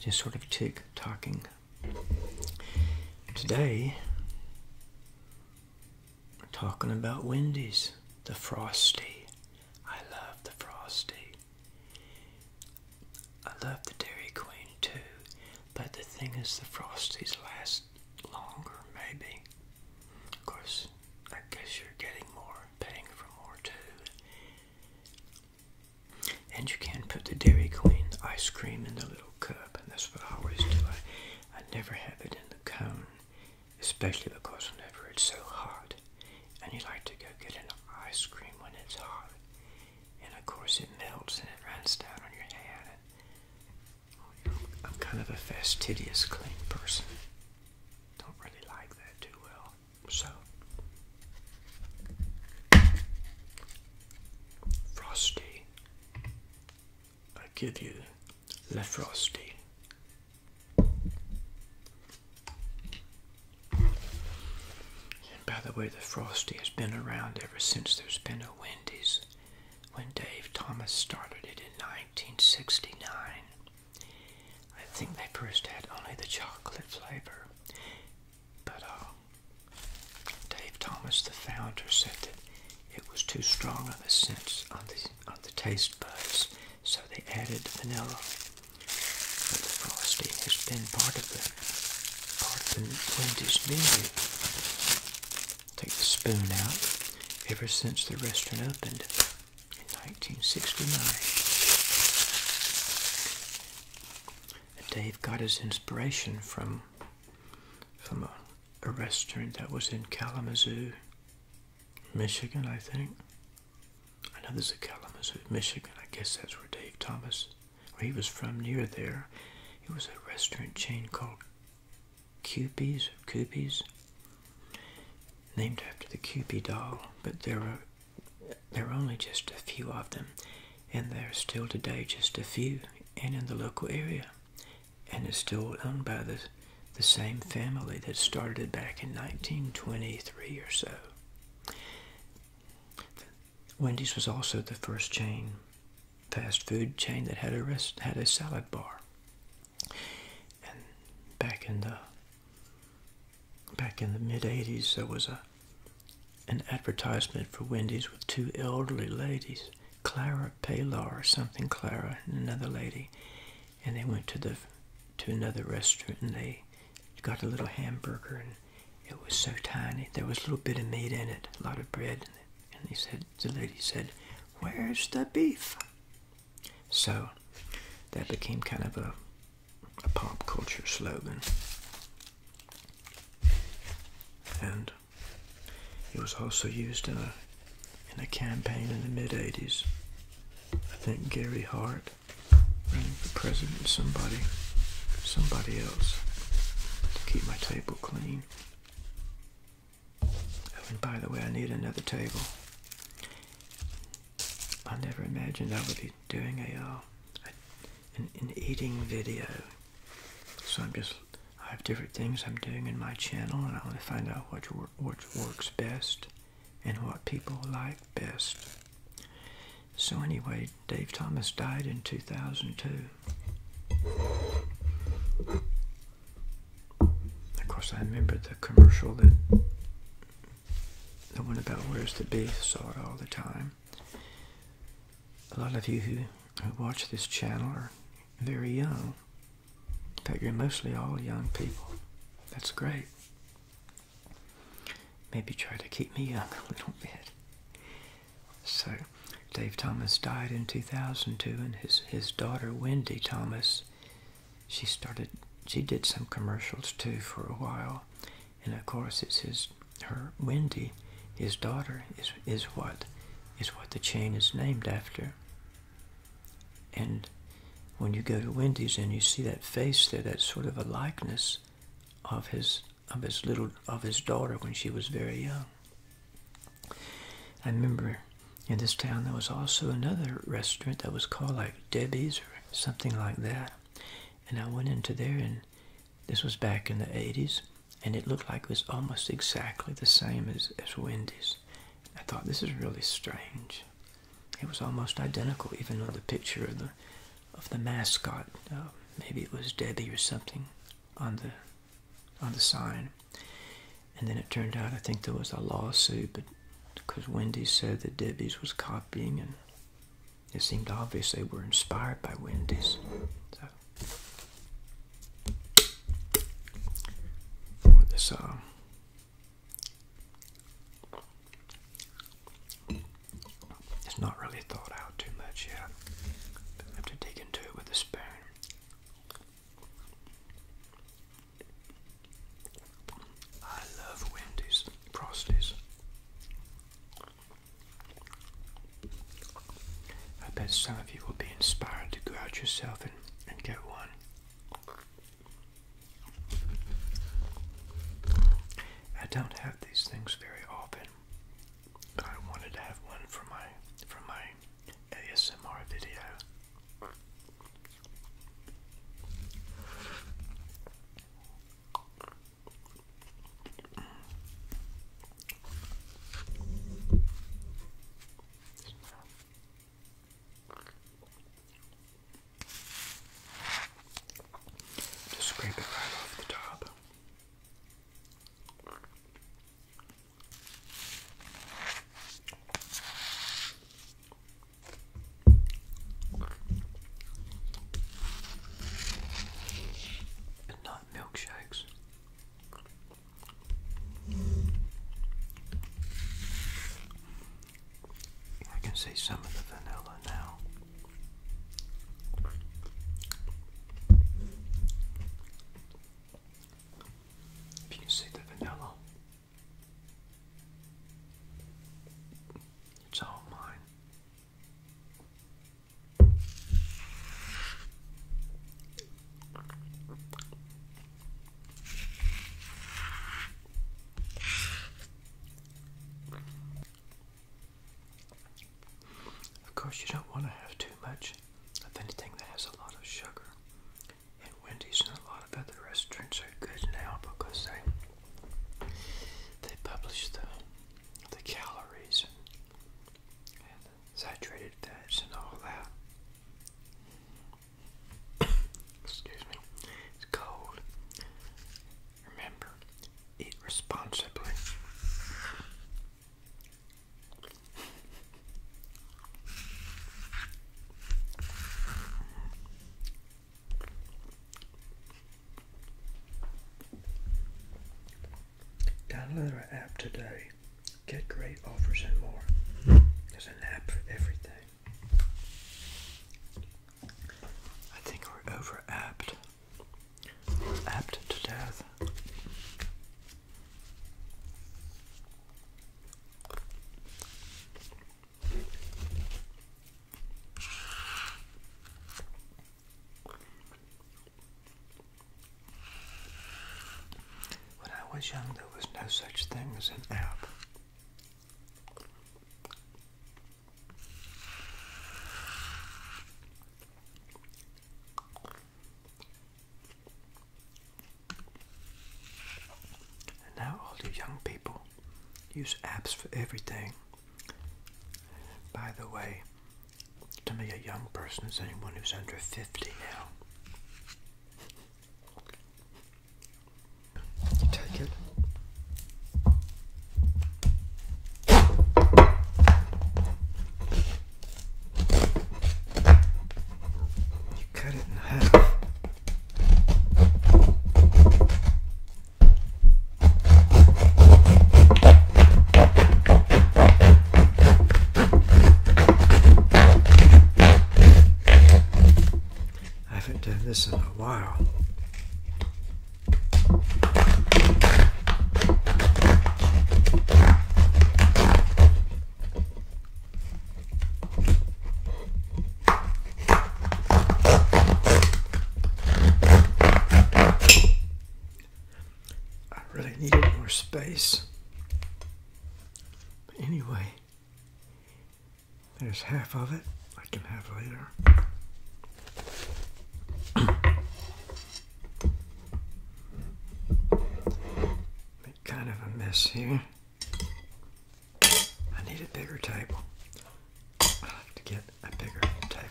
Just sort of tick talking. Today, talking about Wendy's, the Frosty. I love the Frosty. I love the Dairy Queen too, but the thing is, the Frosties last longer, maybe. Of course, I guess you're getting more, paying for more too. And you can put the Dairy Queen ice cream in the little cup, and that's what I always do. I, I never have it in the cone, especially because whenever it's so hot, and you like to go get an ice cream when it's hot, and of course it melts and it runs down on your hand. I'm kind of a fastidious, clean person. Don't really like that too well. So, Frosty. I give you Le Frosty. And by the way, the Frosty has been around ever since there's been a Wendy's. When Dave Thomas started it in 1969. I think they first had only the chocolate flavor, but uh, Dave Thomas, the founder, said that it was too strong on the sense on the on the taste buds, so they added vanilla. But the frosting has been part of the part of the Wendy's menu Take the spoon out. Ever since the restaurant opened in 1969, Dave got his inspiration from from a, restaurant that was in Kalamazoo, Michigan, I think. I know there's a Kalamazoo, Michigan. I guess that's where Dave Thomas, where he was from, near there. It was a restaurant chain called Cupies or named after the Cupid doll, but there are there are only just a few of them, and there are still today just a few, and in the local area, and is still owned by the the same family that started it back in 1923 or so. Wendy's was also the first chain fast food chain that had a rest, had a salad bar. And back in the back in the mid '80s, there was a an advertisement for Wendy's with two elderly ladies, Clara Paylor or something, Clara and another lady, and they went to the to another restaurant and they got a little hamburger and it was so tiny. There was a little bit of meat in it, a lot of bread, and they said, the lady said, Where's the beef? So that became kind of a, a pop culture slogan. And it was also used in uh, a, in a campaign in the mid 80s. I think Gary Hart ran for president, somebody, somebody else to keep my table clean and by the way, I need another table. I never imagined I would be doing a, uh, an, eating video. So I'm just I have different things I'm doing in my channel, and I want to find out what works best and what people like best. So anyway, Dave Thomas died in 2002. Of course, I remember the commercial that the one about where's the beef saw it all the time. A lot of you who, who watch this channel are very young. In fact, you're mostly all young people. That's great. Maybe try to keep me young a little bit. So, Dave Thomas died in 2002, and his his daughter Wendy Thomas, she started she did some commercials too for a while, and of course it's his her Wendy, his daughter is is what is what the chain is named after. And when you go to Wendy's and you see that face there, that's sort of a likeness of his of his little of his daughter when she was very young. I remember in this town there was also another restaurant that was called like Debbie's or something like that. And I went into there and this was back in the 80s and it looked like it was almost exactly the same as, as Wendy's. I thought this is really strange. It was almost identical even on the picture of the of the mascot. Uh, maybe it was Debbie or something on the on the sign. And then it turned out I think there was a lawsuit, but because Wendy said that Debbie's was copying, and it seemed obvious they were inspired by Wendy's. So, this, uh, it's not really thought out too much yet. I have to dig into it with a spoon. I love Wendy's Frosties. I bet some of you will be inspired to go out yourself and get one. I don't have these things very often. But I wanted to have one for my for my ASMR video. Just scrape it right off the top and not milkshakes. I can see some of the vanilla now. If you can see the vanilla, it's all mine. Of course, you don't want to have too much of anything that has a lot of sugar. And Wendy's and a lot of other restaurants are good now because they they publish the the calories and, and saturated fats and all that. Excuse me. It's cold. Remember, eat responsibly. Download our app today. Get great offers and more. There's an app for everything. I think we're over apped. Apt to death. When I was young, there was no such thing as an app now all the young people use apps for everything. By the way, to me a young person is anyone who's under 50 now. Take it. I haven't done this in a while. I really needed more space. But anyway, there's half of it I can have later. Make kind of a mess here. I need a bigger table. I have to get a bigger table.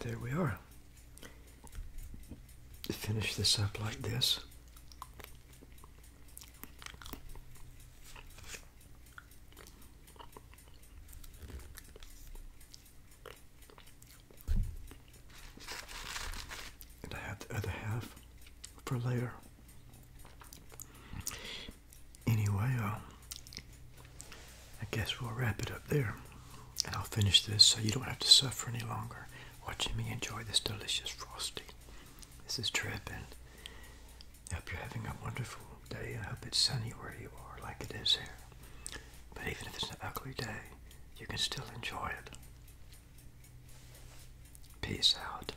There we are. Finish this up like this. And I have the other half for later anyway, um, I guess we'll wrap it up there. And I'll finish this so you don't have to suffer any longer watching me enjoy this delicious frosting. This is Trip, I hope you're having a wonderful day. I hope it's sunny where you are, like it is here. But even if it's an ugly day, you can still enjoy it. Peace out.